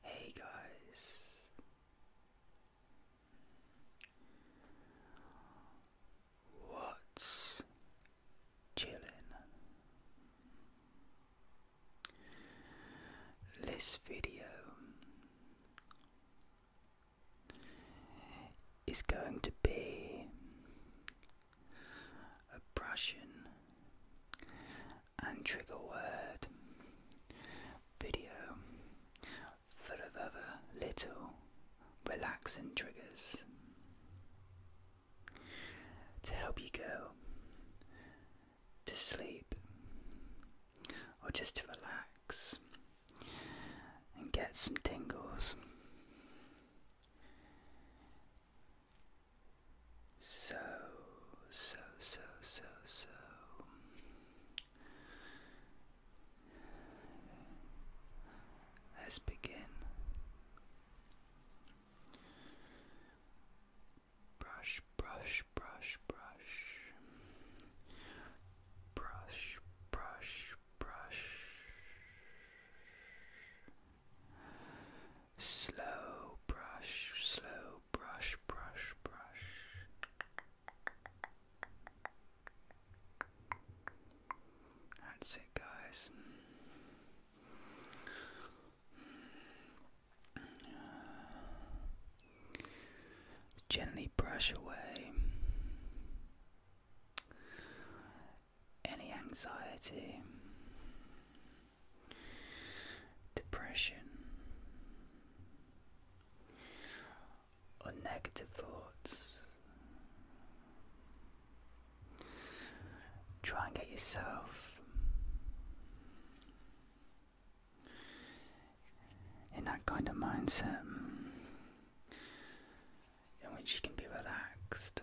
Hey guys, what's chillin'? This video is going to be a brushing and trigger word video full of other little relaxing triggers to help you go to sleep or just to relax and get some tingles. So, so, so, so, so. Let's begin. Brush, brush, brush, brush. Brush, brush, brush. Slow brush, slow brush, brush, brush. That's it, guys. Uh, gently brush away any anxiety depression, or negative thoughts. Try and get yourself in that kind of mindset in which you can be relaxed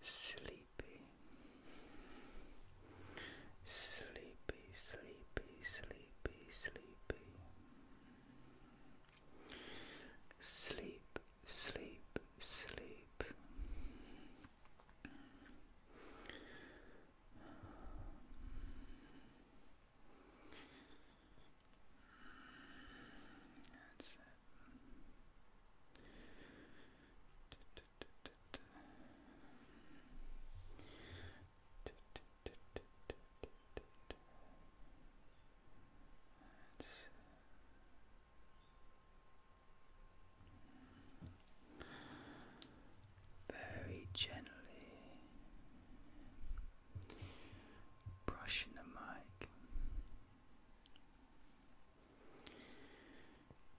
Sleepy, sleepy, sleepy, sleepy, sleepy. Sleep, sleep, sleep. That's it very gently brushing the mic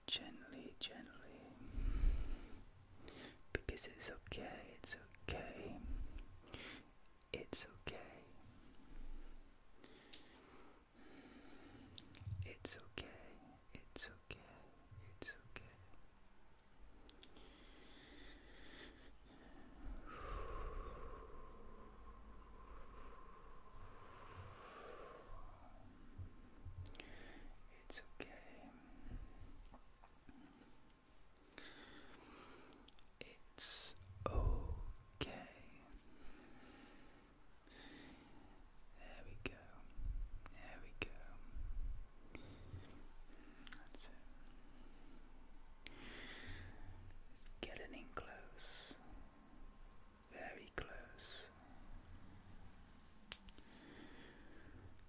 Gently, gently. Because it's okay, it's okay. It's okay. It's okay, it's okay, it's okay. It's okay. It's okay. There we go. There we go. That's it. Just getting in close. Very close.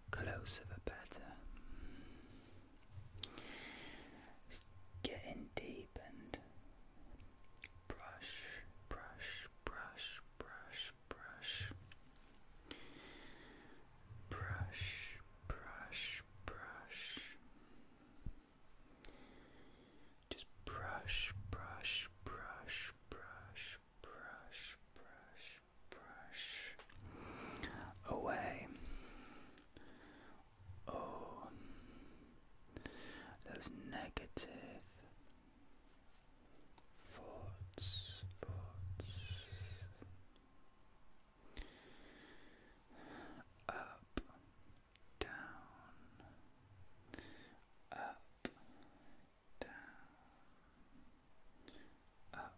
Closer the better. Just deep and brush, brush, brush, brush, brush. Brush, brush, brush. Just brush, brush, brush, brush, brush, brush, brush away. Oh, those negative thoughts, thoughts. Up, down, up, down, up, down.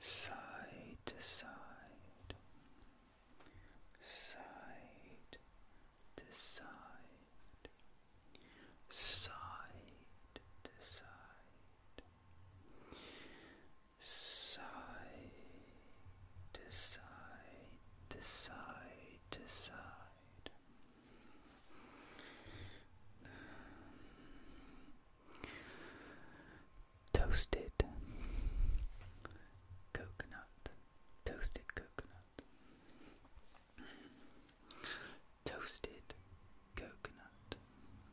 Side to side, side to side, side to side, side to side to side to side. Toasted coconut, toasted coconut, toasted coconut,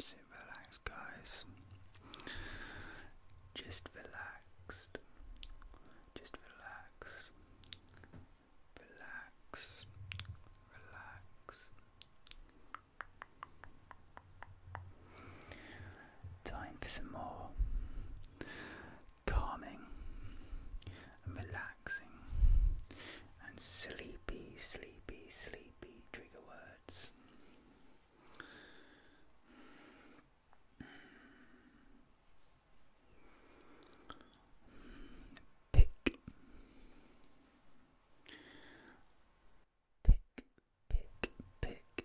Sit relaxed, guys. Just relaxed. Just relax. Relax. Relax. Time for some more calming and relaxing and sleepy, sleepy, sleepy trigger words. Pick, pick, pick, pick,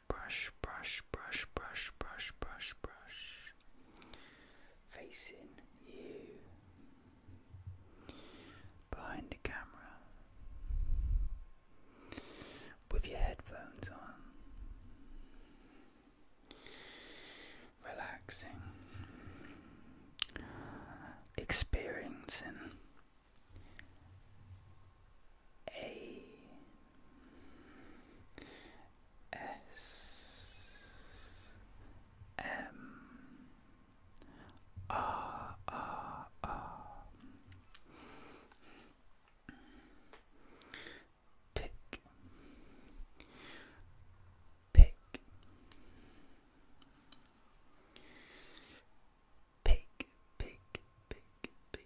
brush, brush, brush, brush, brush, brush, brush. Facing you. Behind the camera. With your headphones on. Relaxing. Experiencing a S M R R R Pick Pick Pick Pick Pick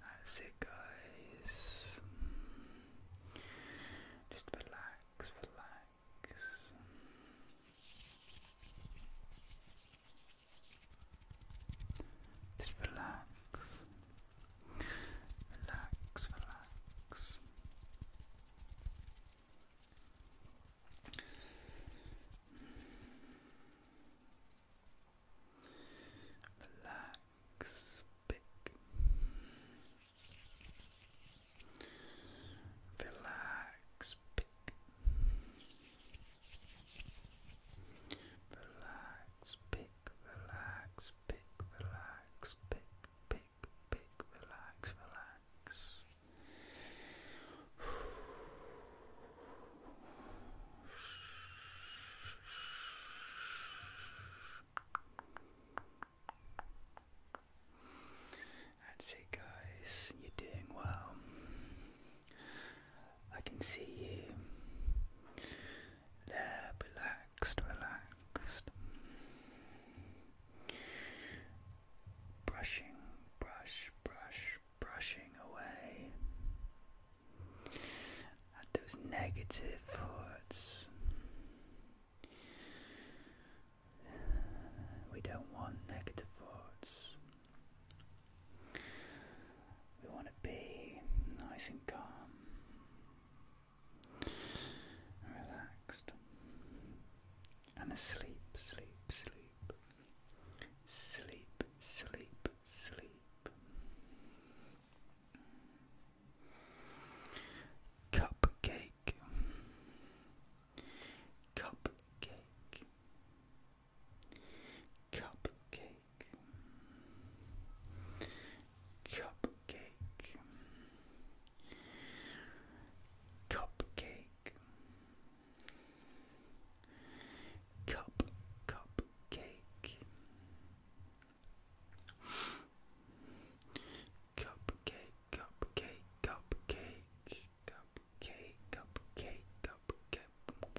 That's it, guys. Just relax, relax. Just relax. Relax, relax. Relax, big. Relax, big. Relax, pick, relax, pick, relax, pick, pick, big, relax, relax. That's it, guys. You're doing well. I can see you there, relaxed, relaxed. Brushing, brush, brush, brushing away at those negative thoughts. We don't want negative thoughts. We want to be nice and calm relaxed, and asleep, sleep, sleep, sleep, sleep, sleep. Cupcake, cupcake, cupcake, Cupcake. Cupcake. Cup, cupcake. Cupcake, cupcake, cupcake, cupcake, cupcake, cupcake.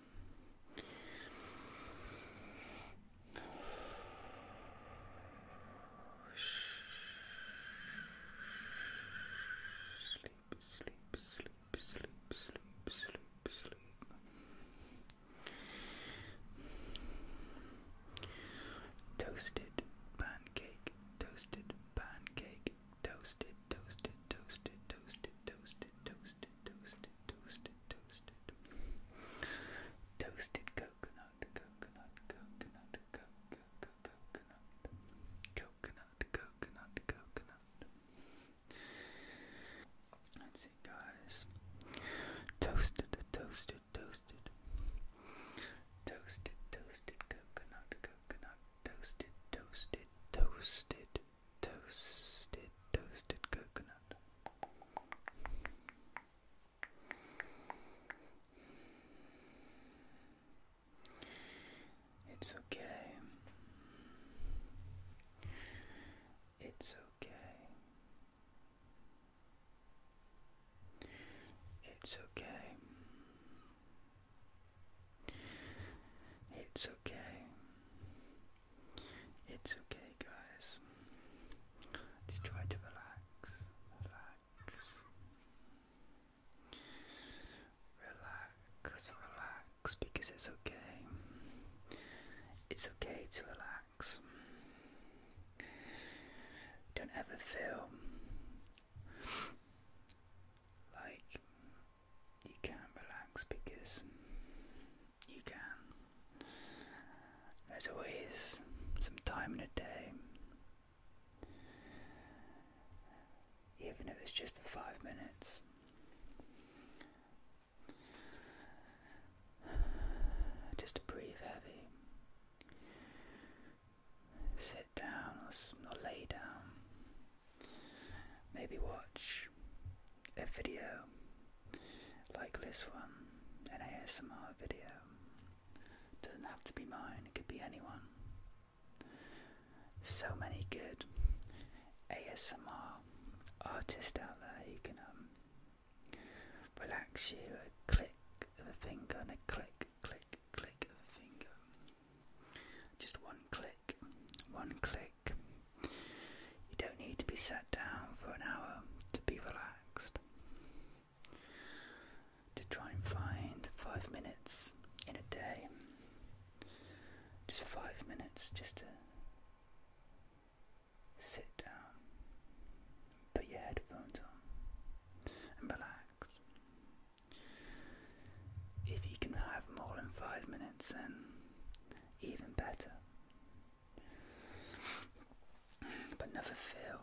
Sleep, sleep, sleep, sleep, sleep, sleep, sleep. Toasted pancake, toasted pancake, toasted, toasted, toasted, toasted, toasted, toasted, toasted, toasted, toasted. Toasted coconut, coconut, coconut, coconut, coconut, coconut, coconut, coconut. Let's see, guys. Toasted, toasted, toasted. Toasted, toasted coconut, coconut, toasted, toasted, toasted toasted, toasted coconut. It's okay. It's okay. It's okay. It's okay. It's okay, guys. Just try to relax, relax, relax, relax, because it's okay. It's okay to relax. Don't ever feel like you can't relax because you can. There's always some time in a day, even if it's just for five minutes. Just to breathe heavy. Sit down or lay down. Maybe watch a video like this one, an ASMR video. Doesn't have to be mine, it could be anyone. So many good ASMR artists out there You can um, relax you a click of a finger and a click, click, click of a finger. Just one click one click. You don't need to be sat down for an hour to be relaxed. To try and find five minutes in a day, just five minutes just sit down, put your headphones on, and relax. If you can have more than five minutes, then even better. But never feel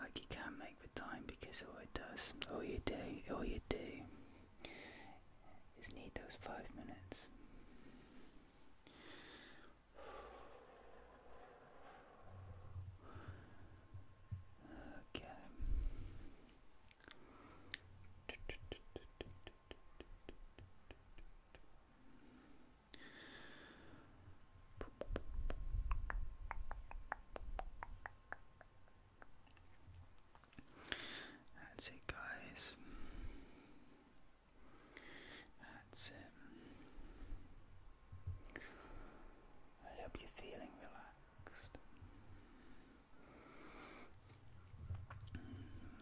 like you can make the time because all it does, all you do, all you do is need those five minutes. Okay. That's it, guys. That's it. I hope you're feeling relaxed.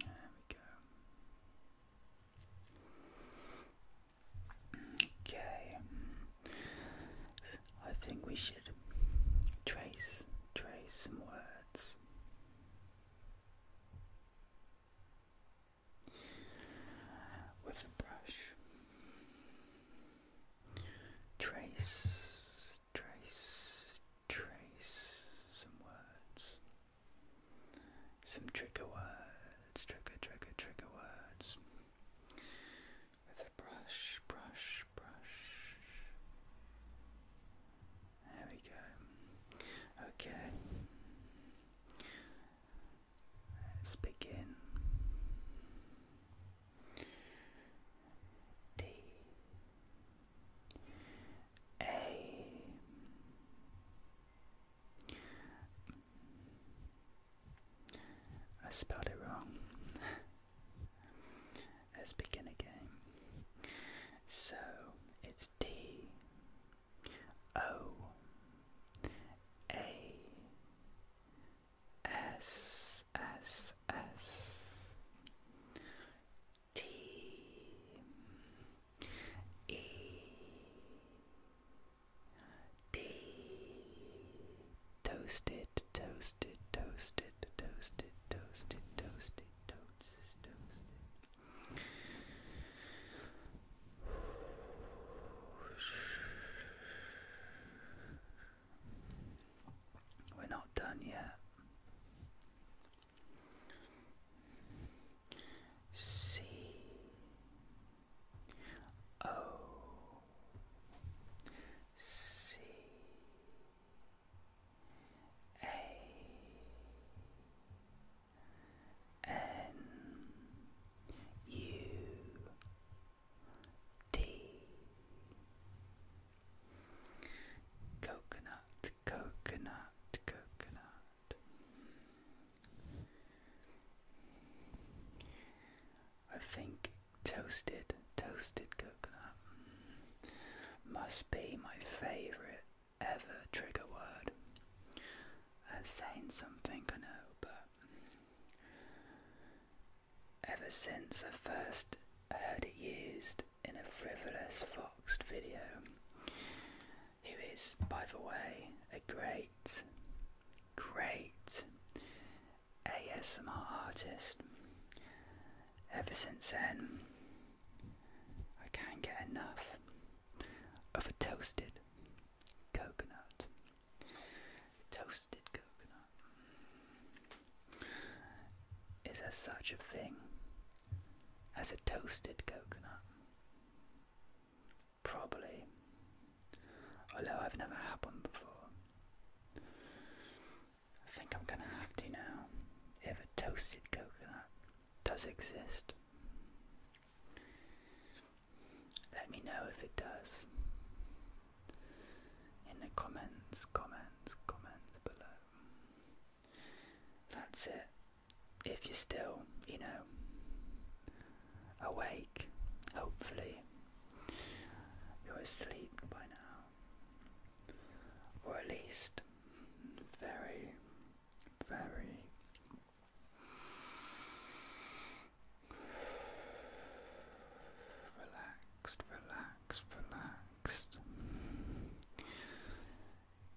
There we go. Okay. I think we should trace trace some words. With a brush, trace trace, trace some words. Some trigger words, trigger, trigger, trigger words. With a brush, brush, brush. There we go. Okay. Let's begin. D A I spelled it wrong. Let's begin again. So it's D O A S S S T E D Toasted, toasted, toasted, toasted, toasted, toasted, toasted, toasted. We're not done yet. C O C A N U D. Coconut, coconut, coconut. I think toasted, toasted coconut must be my favourite ever trigger word. That's saying something, I know, but ever since I first heard it used in a frivolous Foxed video, who is, by the way, a great, great ASMR artist. Ever since then, I can't get enough of a toasted coconut. Toasted coconut. Is there such a thing as a toasted coconut? Probably. Although I've never had one before. I think I'm gonna have to now if a toasted coconut does exist. Let me know if it does in the comments, comments, comments below. That's it. If you're still, you know, awake, hopefully you're asleep by now, or at least very, very Relaxed, relaxed, relaxed.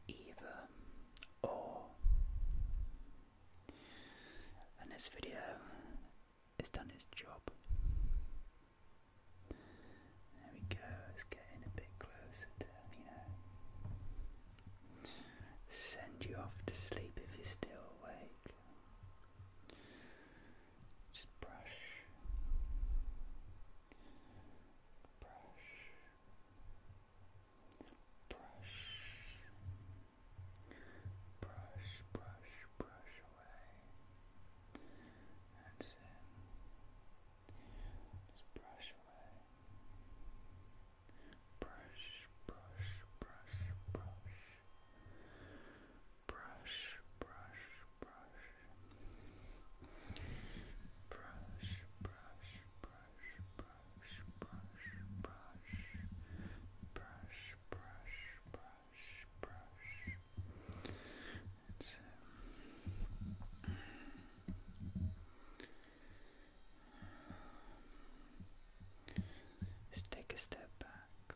Either or. And this video has done its job. There we go, it's getting a bit closer to, you know, send you off to sleep if you're still awake. Just brush, brush, brush, brush, brush, brush away. That's it. Just brush away. Brush, brush, brush, brush brush, brush, brush, brush, brush, brush, brush, brush, brush, brush, brush, brush, brush. It's um, Let's take a step back.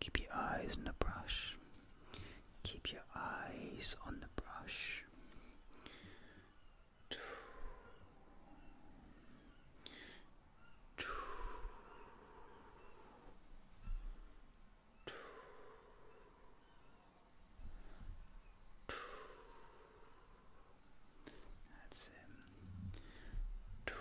Keep your eyes on the brush. Keep your eyes on the brush. That's it. That's Shh.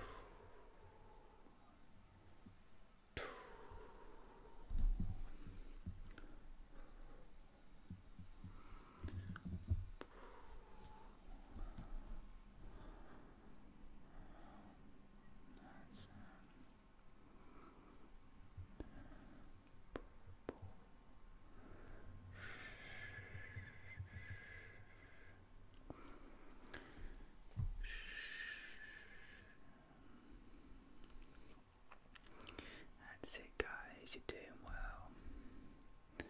That's it, guys, you're doing well.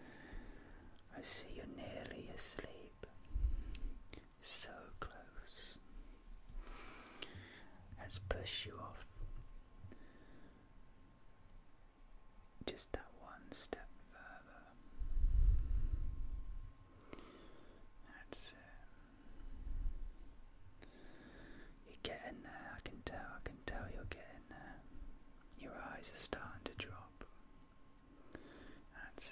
I see you're nearly asleep. So close. Let's push you off just that one step further. That's it. You're getting there, I can tell, I can tell you're getting there. Your eyes are starting to drop. That's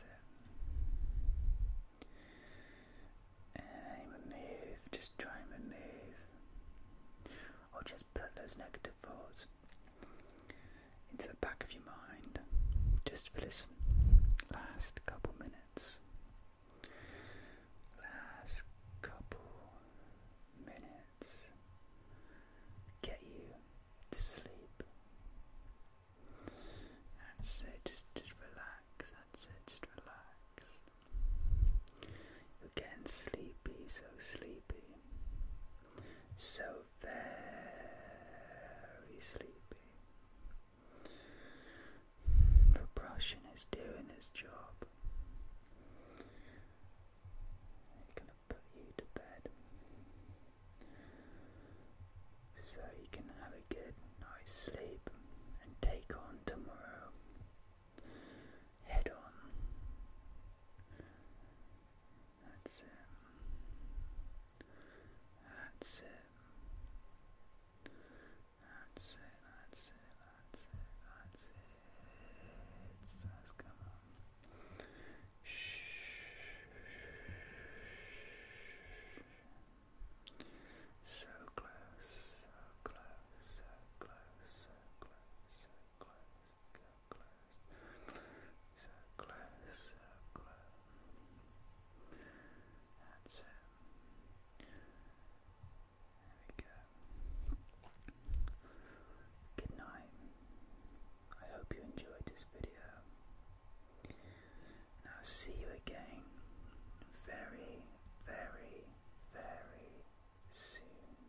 it. And remove, just try and remove. Or just put those negative thoughts into the back of your mind just for this last couple minutes. Last couple minutes get you to sleep. That's it, just, just relax, that's it, just relax. You're getting sleepy, so sleepy. So very sleepy. The brushing is doing its job. It's going to put you to bed so you can have a good night's sleep and take on tomorrow head on. That's it. That's it. That's it, that's it, that's it, that's it. come on. Shh. So close, so close, so close, so close, so close, so close, so close. That's it. There we go. Good night. I hope you enjoyed this video. And I'll see you again very, very, very soon.